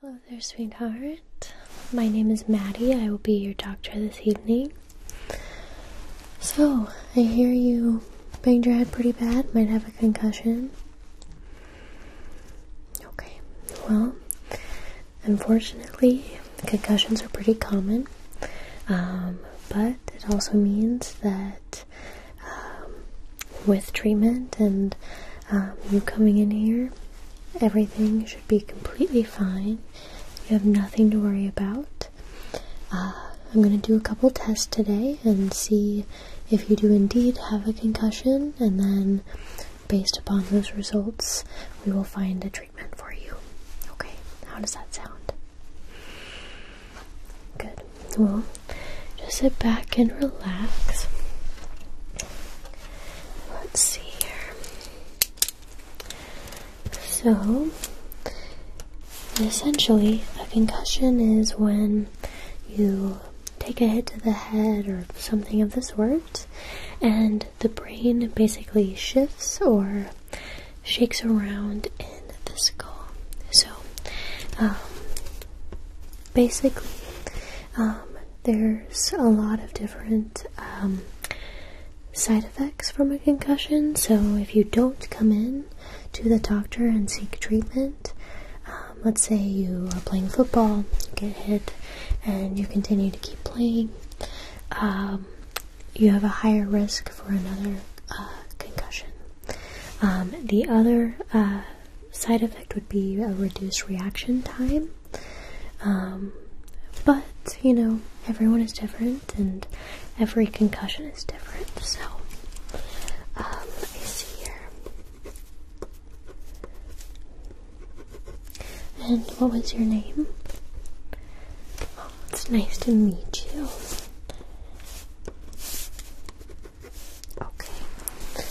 Hello there, sweetheart. My name is Maddie. I will be your doctor this evening. So, I hear you banged your head pretty bad, might have a concussion. Okay, well, unfortunately, concussions are pretty common, um, but it also means that um, with treatment and um, you coming in here, everything should be completely fine. You have nothing to worry about. Uh, I'm going to do a couple tests today and see if you do indeed have a concussion, and then based upon those results, we will find a treatment for you. Okay, how does that sound? Good. Well, just sit back and relax. Let's see here. So, essentially, a concussion is when you take a hit to the head or something of this sort, and the brain basically shifts or shakes around in the skull. So, um, basically, um, there's a lot of different um, side effects from a concussion, so if you don't come in to the doctor and seek treatment, um, let's say you are playing football, you get hit, and you continue to keep playing, you have a higher risk for another uh, concussion. the other uh, side effect would be a reduced reaction time. Um, but, you know, everyone is different and every concussion is different, so let um, me see here. And what was your name? Oh, it's nice to meet you. Okay.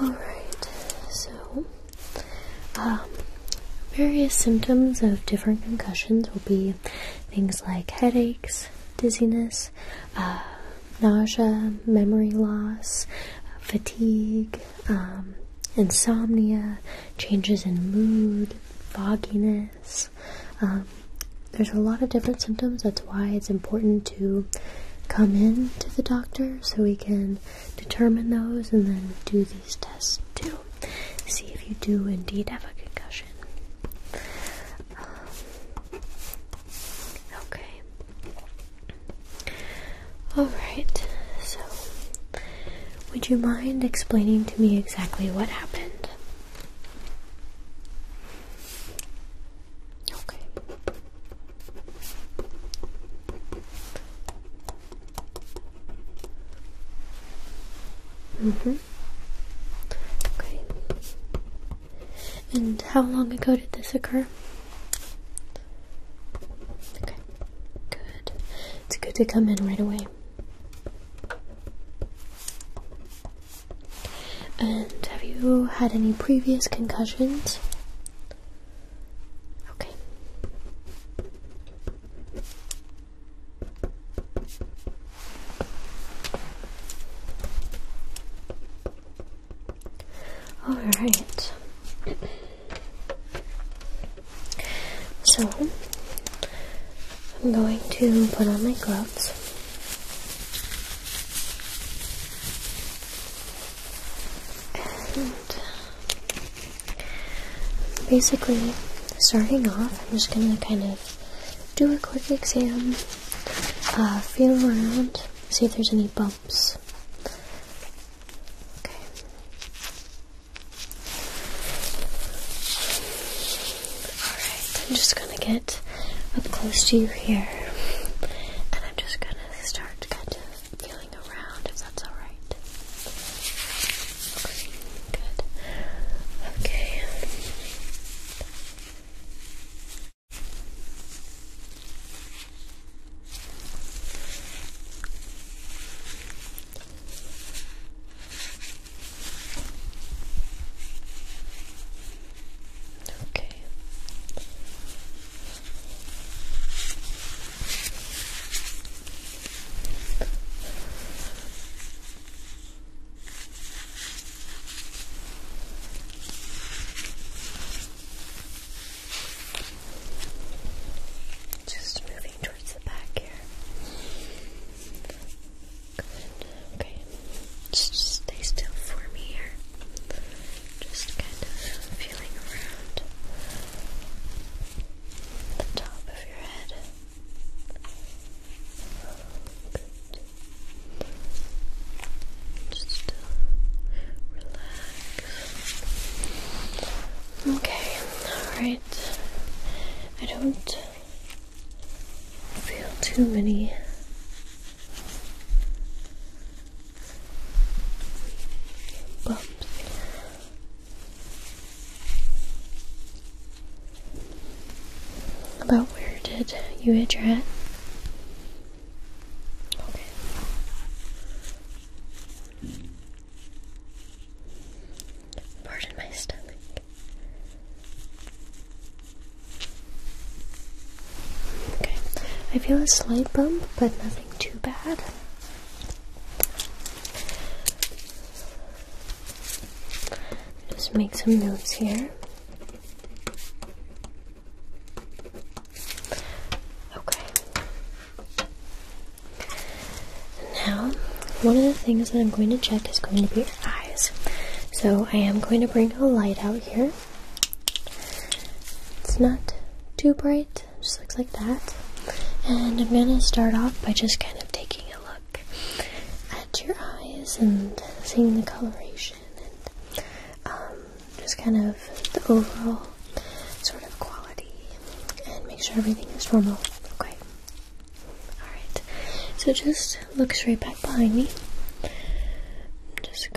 Alright, so um, various symptoms of different concussions will be things like headaches, dizziness, uh, nausea, memory loss, fatigue, um, insomnia, changes in mood, fogginess. Um, there's a lot of different symptoms. That's why it's important to come in to the doctor so we can determine those and then do these tests too. See if you do indeed have a concussion. Um, okay. Alright, so would you mind explaining to me exactly what happened? Okay. Mm-hmm. Okay. And how long ago did this occur? Okay. Good. It's good to come in right away. And have you had any previous concussions? Okay. All right. So, I'm going to put on my gloves. And basically, starting off, I'm just gonna kind of do a quick exam, uh, feel around, see if there's any bumps. Okay. Alright, I'm just gonna get up close to you here, and I'm just gonna going start kind of feeling around if that's alright. good. Okay. Okay. Just moving towards the back here. Okay. Just stay still for me here. Just kind of feeling around the top of your head. Good. Just relax. Okay, alright. I don't feel too many bumps. About where did you hit your head? Pardon my stomach. Okay, I feel a slight bump, but nothing too bad. Just make some notes here. Okay. Now, one of the things that I'm going to check is going to be your eyes. So I am going to bring a light out here. It's not too bright, just looks like that. And I'm gonna start off by just kind of taking a look at your eyes and seeing the coloration and um, just kind of the overall sort of quality and make sure everything is normal. Okay. Alright. So just look straight back behind me. I'm just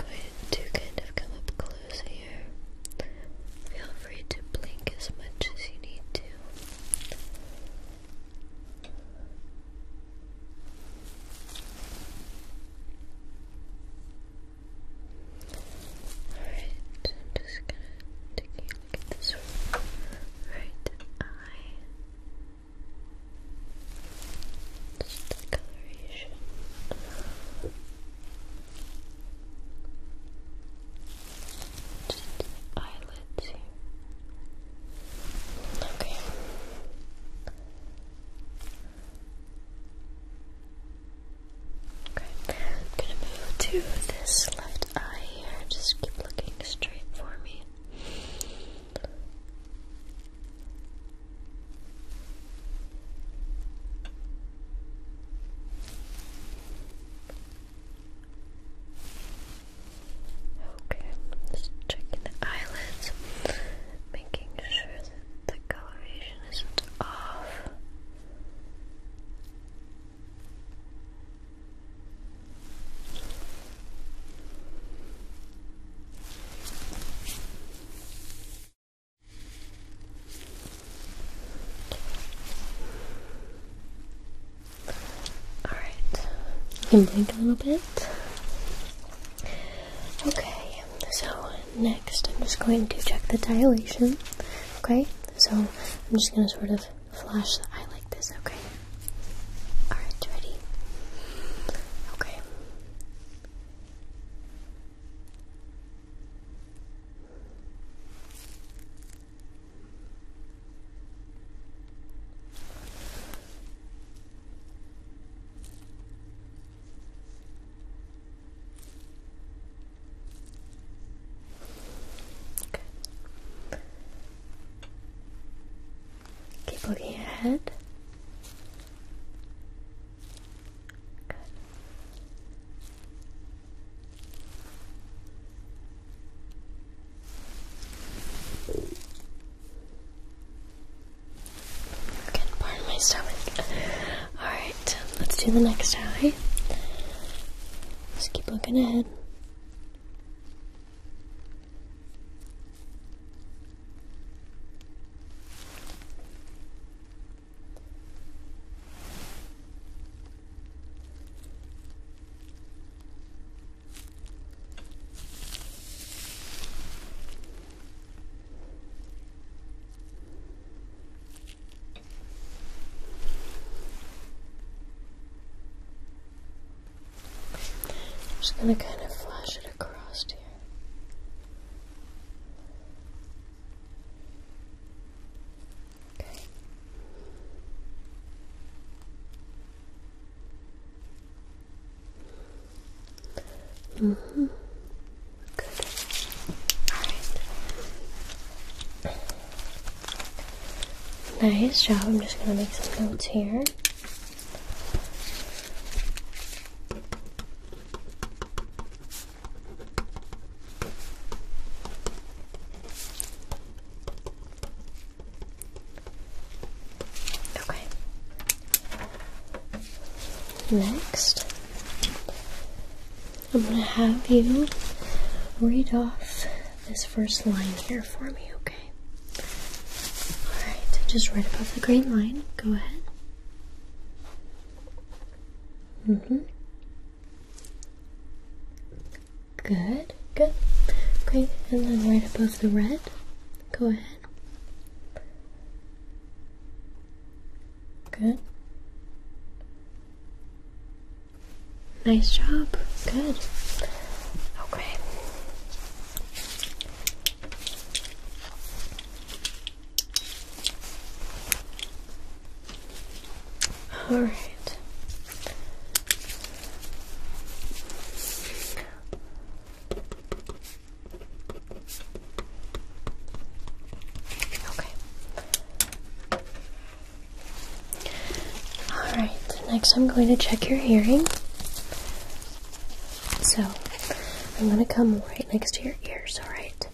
to kind of come up close here. Feel free to blink as much as you need to. Alright, I'm just gonna take this right eye. Just the coloration. Just eyelids here. Okay. Okay, I'm gonna move to this left eye here. Just keep looking straight for me. Okay, just checking the eyelids, making sure that the coloration isn't off. All right, you can blink a little bit. Okay, so next I'm just going to check the dilation. Okay, so I'm just going to sort of flash the eye like this. Okay. All right, ready. Okay. Keep looking ahead. Good. pardon my stomach. Alright, let's do the next eye. Just keep looking ahead. I'm just going to kind of flash it across hmm Good. Nice job. I'm just gonna make some notes here. Okay. Next, I'm going to have you read off this first line here for me, okay? Alright, just right above the green line. Go ahead. Mm hmm Good, good. Great, and then right above the red, go ahead. Good. Nice job. Good. Okay. All right. Okay. All right. Next, I'm going to check your hearing. So I'm going to come right next to your ears, alright?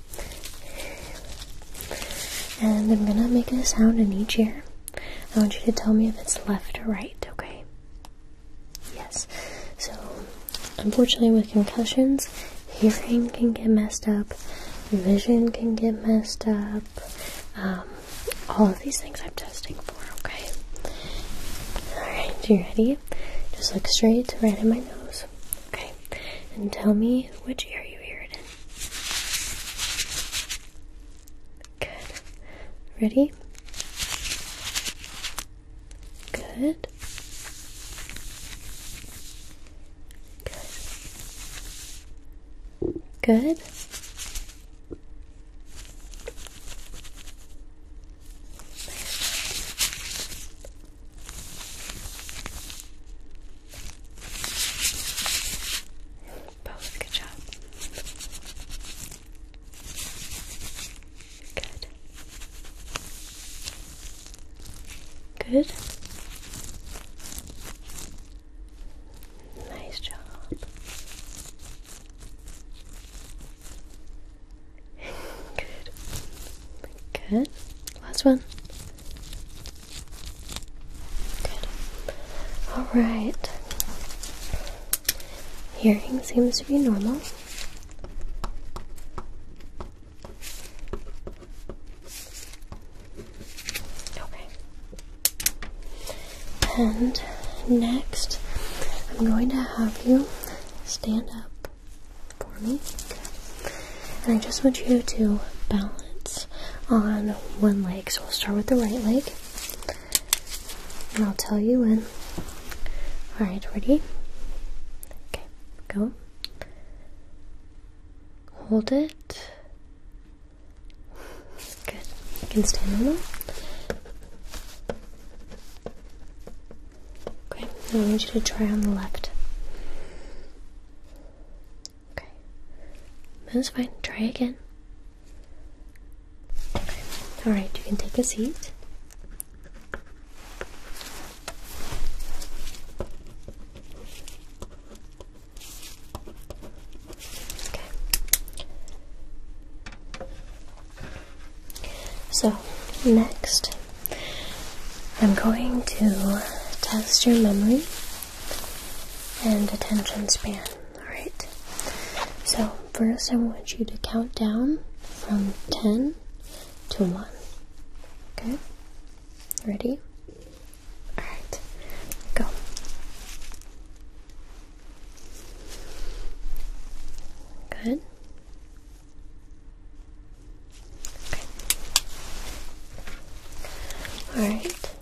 And I'm going to make a sound in each ear. I want you to tell me if it's left or right, okay? Yes. So, unfortunately, with concussions, hearing can get messed up, vision can get messed up. Um, all of these things I'm testing for, okay? Alright, you ready? Just look straight right in my nose, okay? And tell me which ear you hear it in. Good. Ready? Good. Good. Good. Both, good job. Good. Good. Nice job. Good. Good. Last one. Good. Alright. Hearing seems to be normal. Okay. And next, I'm going to have you stand up for me. And I just want you to balance on one leg. So we'll start with the right leg. And I'll tell you when. Alright, ready? Okay, go. Hold it. Good. You can stand on that. Okay, I want you to try on the left. Okay. That's fine. Try again. Okay. Alright, you can take a seat. Okay. So, next, I'm going to test your memory and attention span. Alright? So, first, I want you to count down from 10 to 1. Okay? Ready? Alright, go. Good. Okay. All right.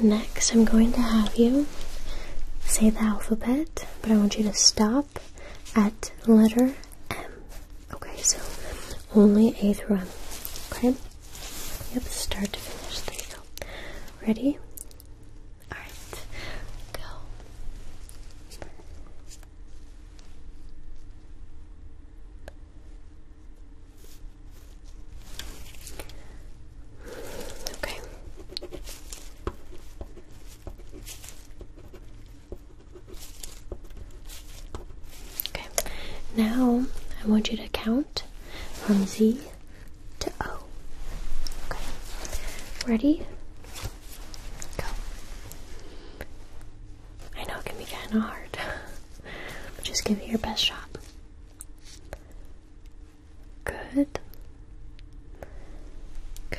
Next, I'm going to have you say the alphabet, but I want you to stop at letter M. Okay, so only A through M. Okay? Yep, start to finish. There you go. Ready? Alright, go. Okay. Okay. Now I want you to count from Z to O. Okay. Ready? Go. I know it can be kind of hard, but just give it your best shot. Good. Good.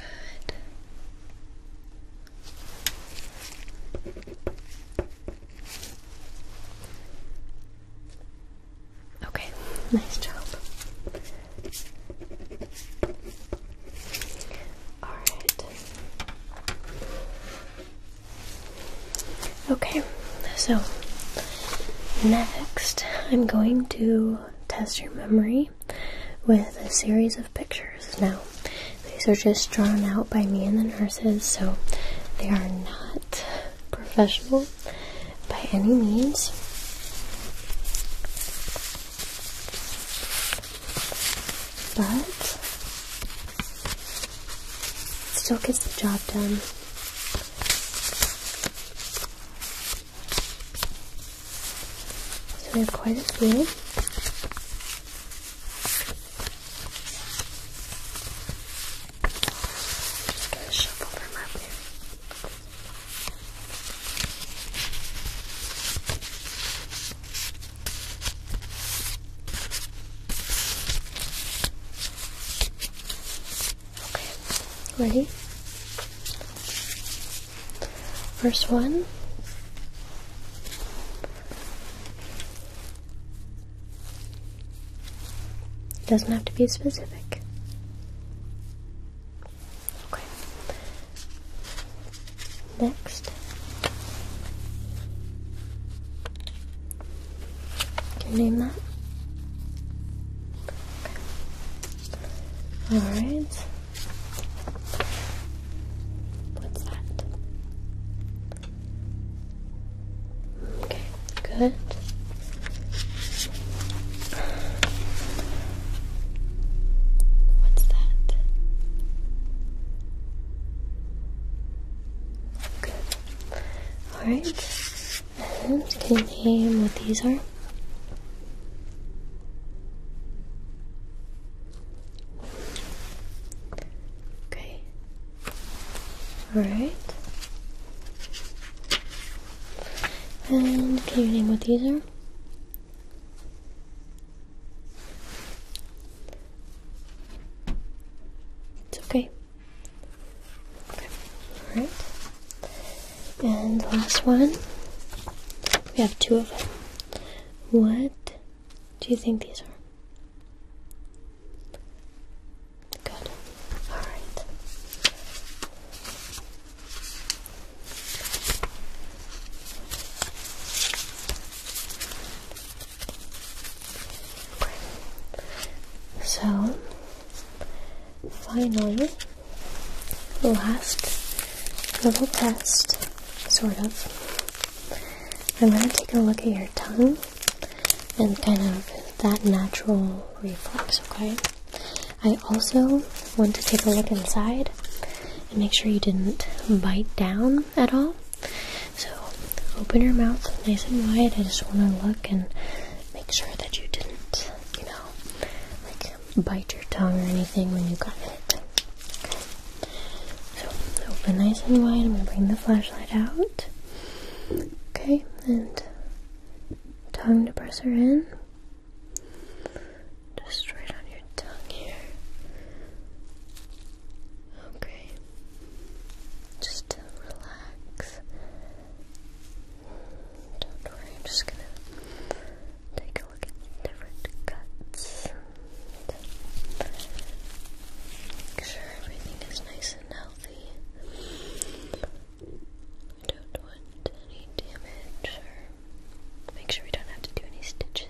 Okay, nice job. Alright. Okay, so next I'm going to test your memory with a series of pictures. Now, these are just drawn out by me and the nurses, so they are not professional by any means. But still gets the job done. So we have quite a few. Just gonna shuffle them up here. ready? First one. It doesn't have to be specific. Okay. Next. Can name that? Alright. What's that? Okay, good. What's that? Good. Alright. can you name what these are? Okay. Alright. And can you name what these are? It's okay. Okay. Alright. And last one. We have two of them. What do you think these are? Good. All right. So, finally, the last little test, sort of. I'm going to take a look at your tongue and kind of that natural reflex, okay? I also want to take a look inside and make sure you didn't bite down at all. So open your mouth nice and wide. I just want to look and make sure that you didn't, you know, like bite your tongue or anything when you got it. Okay. So open nice and wide. I'm going to bring the flashlight out. Okay, and Time to press her in. Just right on your tongue here. Okay. Just relax. Don't worry, I'm just gonna take a look at different cuts. Make sure everything is nice and healthy. We don't want any damage make sure we don't have to do any stitches.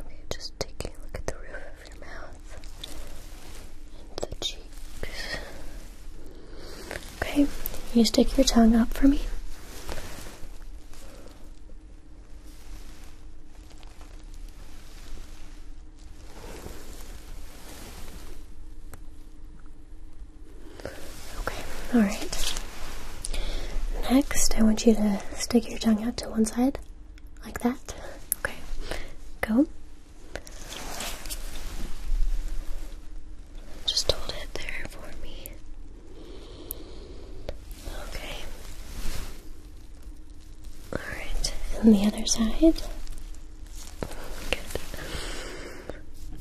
Okay, just taking a look at the roof of your mouth and the cheeks. Okay, you stick your tongue up for me. Okay, alright. Next, I want you to stick your tongue out to one side, like that. Okay, go. Just hold it there for me. Okay. Alright, and the other side. Good.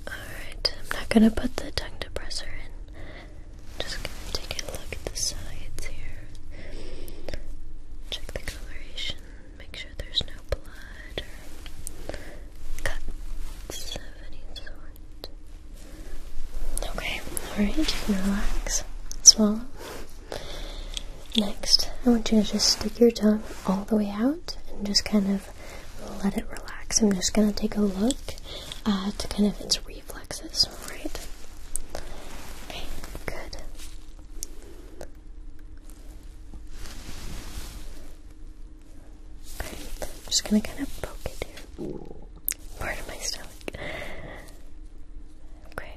Alright, I'm not gonna put the tongue depressor in. just gonna take a look at the sides here. Check the coloration, make sure there's no blood or cuts of any sort. Okay, alright, you can relax. Swallow. Next, I want you to just stick your tongue all the way out and just kind of let it relax. I'm just going to take a look at uh, kind of its reflexes, Right. Okay, good. Okay, I'm just going to kind of poke it here. Ooh, my stomach. Okay.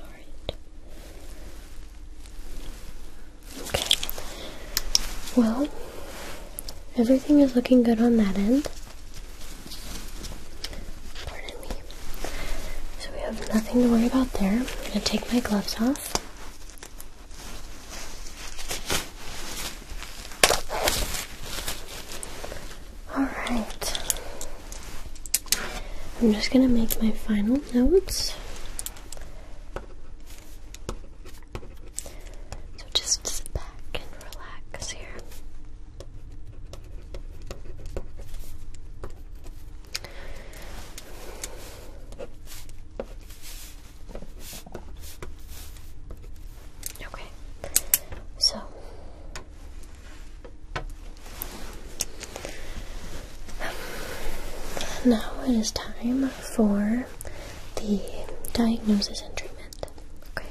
Alright. Okay. Well, everything is looking good on that end. Pardon me. So we have nothing to worry about there. I'm going to take my gloves off. Alright. I'm just going to make my final notes. So just sit back and relax here. Okay, so now it is time for the diagnosis and treatment. Okay,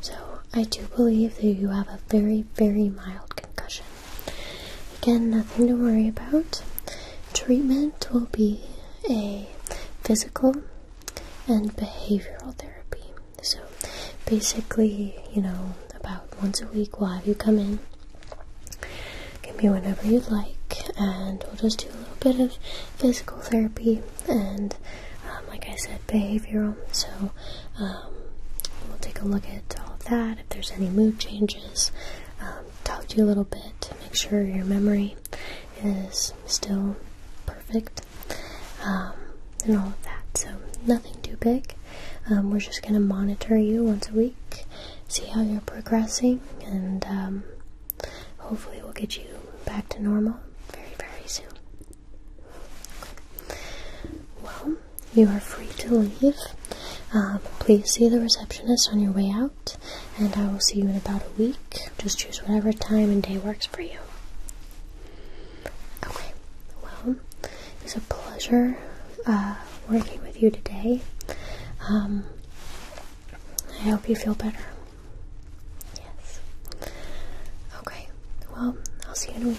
so I do believe that you have a very, very mild concussion. Again, nothing to worry about. Treatment will be a physical and behavioral therapy. So, basically, you know, about once a week we'll have you come in. Give me whatever you'd like, and we'll just do a little bit of physical therapy and, um, like I said, behavioral. So, um, we'll take a look at all of that, if there's any mood changes, um, talk to you a little bit to make sure your memory is still perfect um, and all of that. So, nothing too big. Um, we're just going to monitor you once a week, see how you're progressing, and hopefully, we'll get you back to normal very, very soon. Well, you are free to leave. Uh, please see the receptionist on your way out, and I will see you in about a week. Just choose whatever time and day works for you. Okay, well, it was a pleasure uh, working with you today. Um, I hope you feel better. Yes. Okay, well, I'll see you in a week.